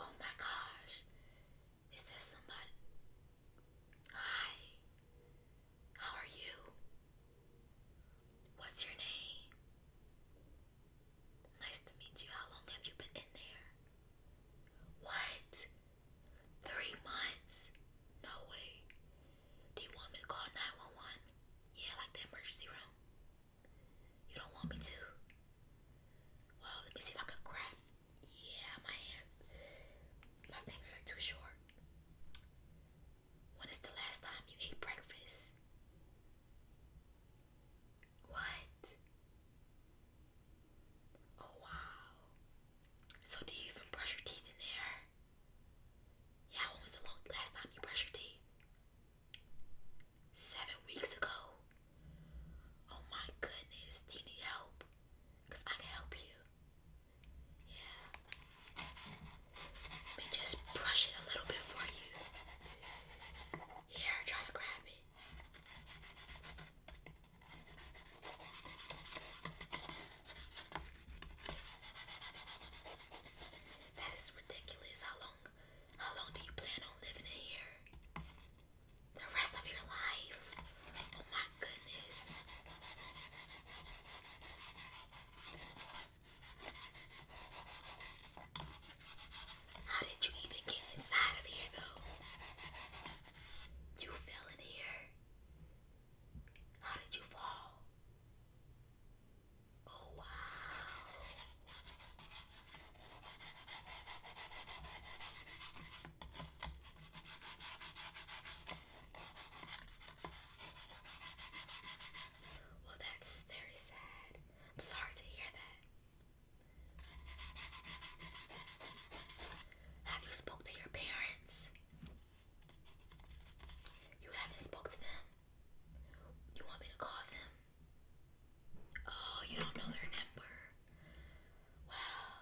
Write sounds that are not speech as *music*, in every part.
Oh my gosh. Is that somebody? Hi. How are you? What's your name? Nice to meet you. How long have you been in there? What? Three months? No way. Do you want me to call 911? Yeah, like the emergency room. You don't want me to? Well, let me see if I can craft. Yeah, my hand, my fingers are too short. When is the last time you ate breakfast? What? Oh wow. So do you even brush your teeth in there? Yeah, when was the last time you brushed your teeth? seven weeks ago. Oh my goodness, do you need help? Because I can help you. Yeah. Let me just brush it a little bit for you. Here, try to grab it. That is ridiculous how long how long do you plan on living in here? The rest of your life? Oh my goodness. How did you even get inside of here though? You fell in here. How did you fall? Oh wow. Well, that's very sad. I'm sorry to hear that. Have you spoke to your parents? You haven't spoke to them. You want me to call them? Oh, you don't know their number. Wow.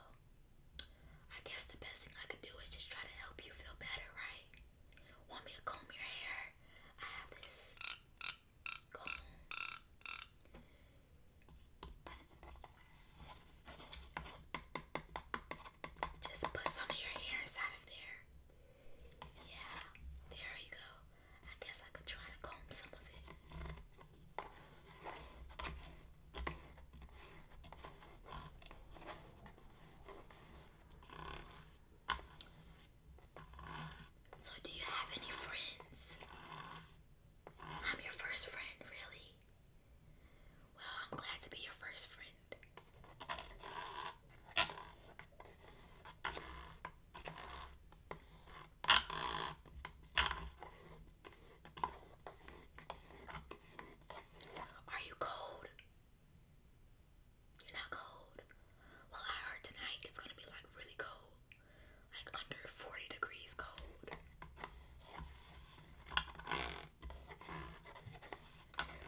I guess the best thing I could do is just try to help you feel better, right? Want me to comb your hair? I have this comb. Just put some of your hair inside of there. Yeah, there you go. I guess I could try to comb some of it. So, do you have any friends? I'm your first friend, really? Well, I'm glad to be your first friend. Are you cold? You're not cold? Well, I heard tonight it's gonna be like really cold. Like under 40 degrees cold.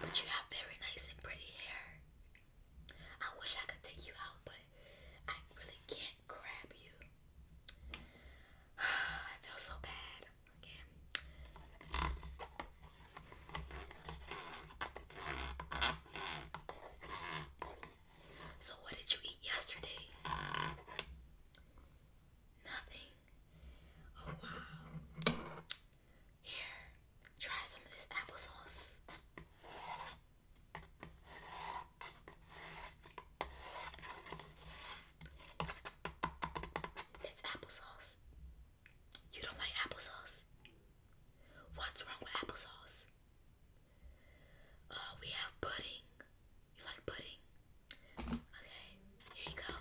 But you have very nice and pretty hair. I wish I could take you out, but I really can't grab you. *sighs* I feel so bad. Okay. So, what did you eat yesterday? Nothing. Oh, wow. Here, try some of this applesauce. It's applesauce. You don't like applesauce? What's wrong with applesauce? Uh, we have pudding. You like pudding? Okay, here you go.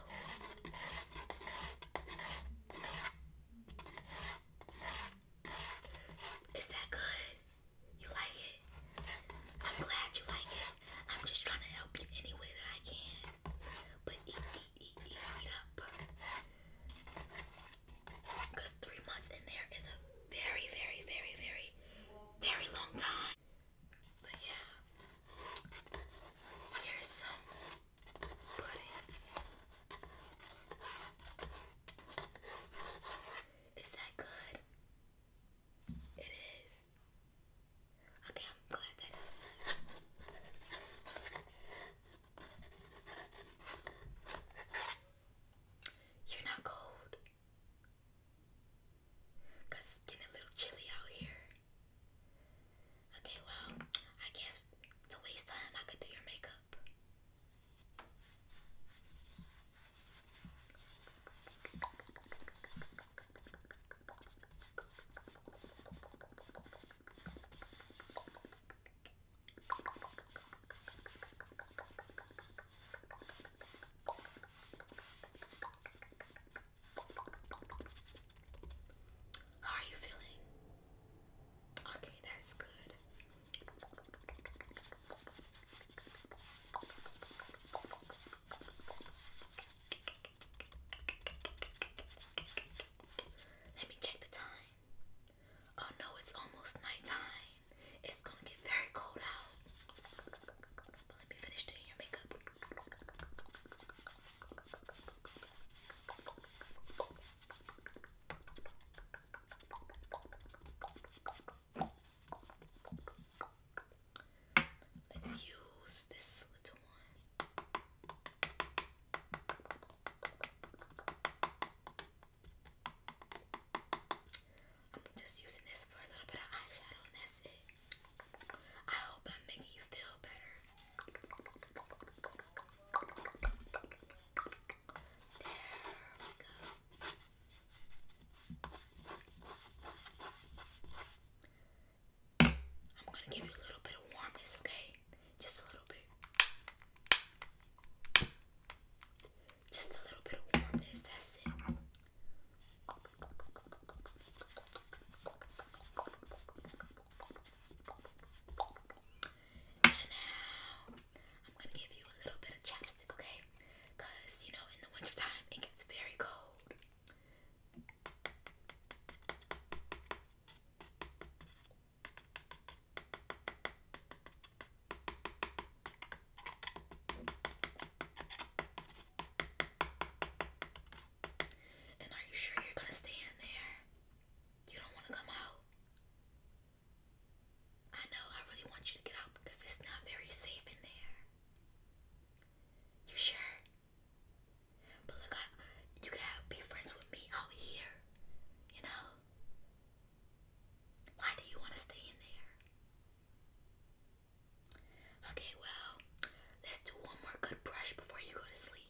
Is that good? You like it? I'm glad you like it. I'm just trying to help you any way that I can. But eat, eat, eat, eat, eat up. Because three months in there is a very, very, very, very, very long time. But yeah, here's some pudding. Is that good? It is. Okay, I'm glad that is. You're not cold. it's getting a little chilly out here. Okay, well, I guess to waste time I could do your makeup up. How are you feeling? Okay, that's good. Let me check the time. Oh no, it's almost nighttime. It's gonna get very cold out. But let me finish doing your makeup. Let's use this little one. I'm just using this for a little bit of eyeshadow, and that's it. I hope I'm making you feel better. I'm gonna give you a little bit of warmness, okay? Just a little bit. Just a little bit of warmness, that's it. And now I'm gonna give you a little bit of chapstick, okay? you know in the wintertime it gets very cold. And are you sure you're gonna stay in there? You don't want to come out. I know, I really want you to get out because it's not very safe in there. You sure? But look, you can be friends with me out here, you know? Why do you want to stay in there? Okay, well, let's do one more good brush before you go to sleep.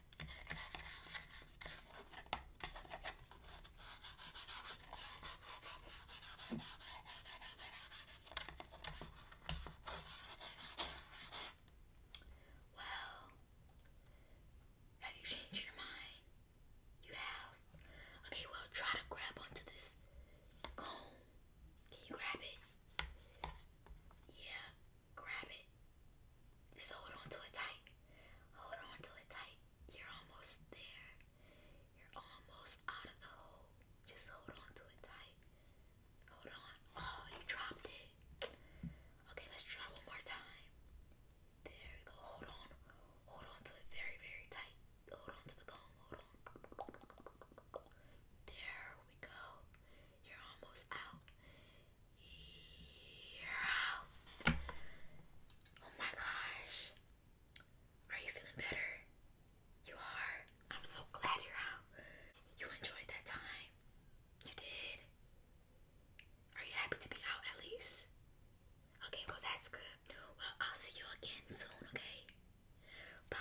Well, have you changed your mind? You have? Okay, well, try to grab onto this comb. Can you grab it? Yeah, Grab it. Just hold on to it tight. Hold on to it tight. You're almost there. You're almost out of the hole. Just hold on to it tight. Hold on. Oh, you dropped it. Okay, let's try one more time. There we go. Hold on. Hold on to it very, very tight. Hold on to the comb. Hold on. There we go. You're almost out. Yeah. Oh my gosh. Are you feeling better? You are. I'm so glad you're out. You enjoyed that time. You did. Are you happy to be out at least? Okay, well, that's good. Well, I'll see you again soon, okay? Bye.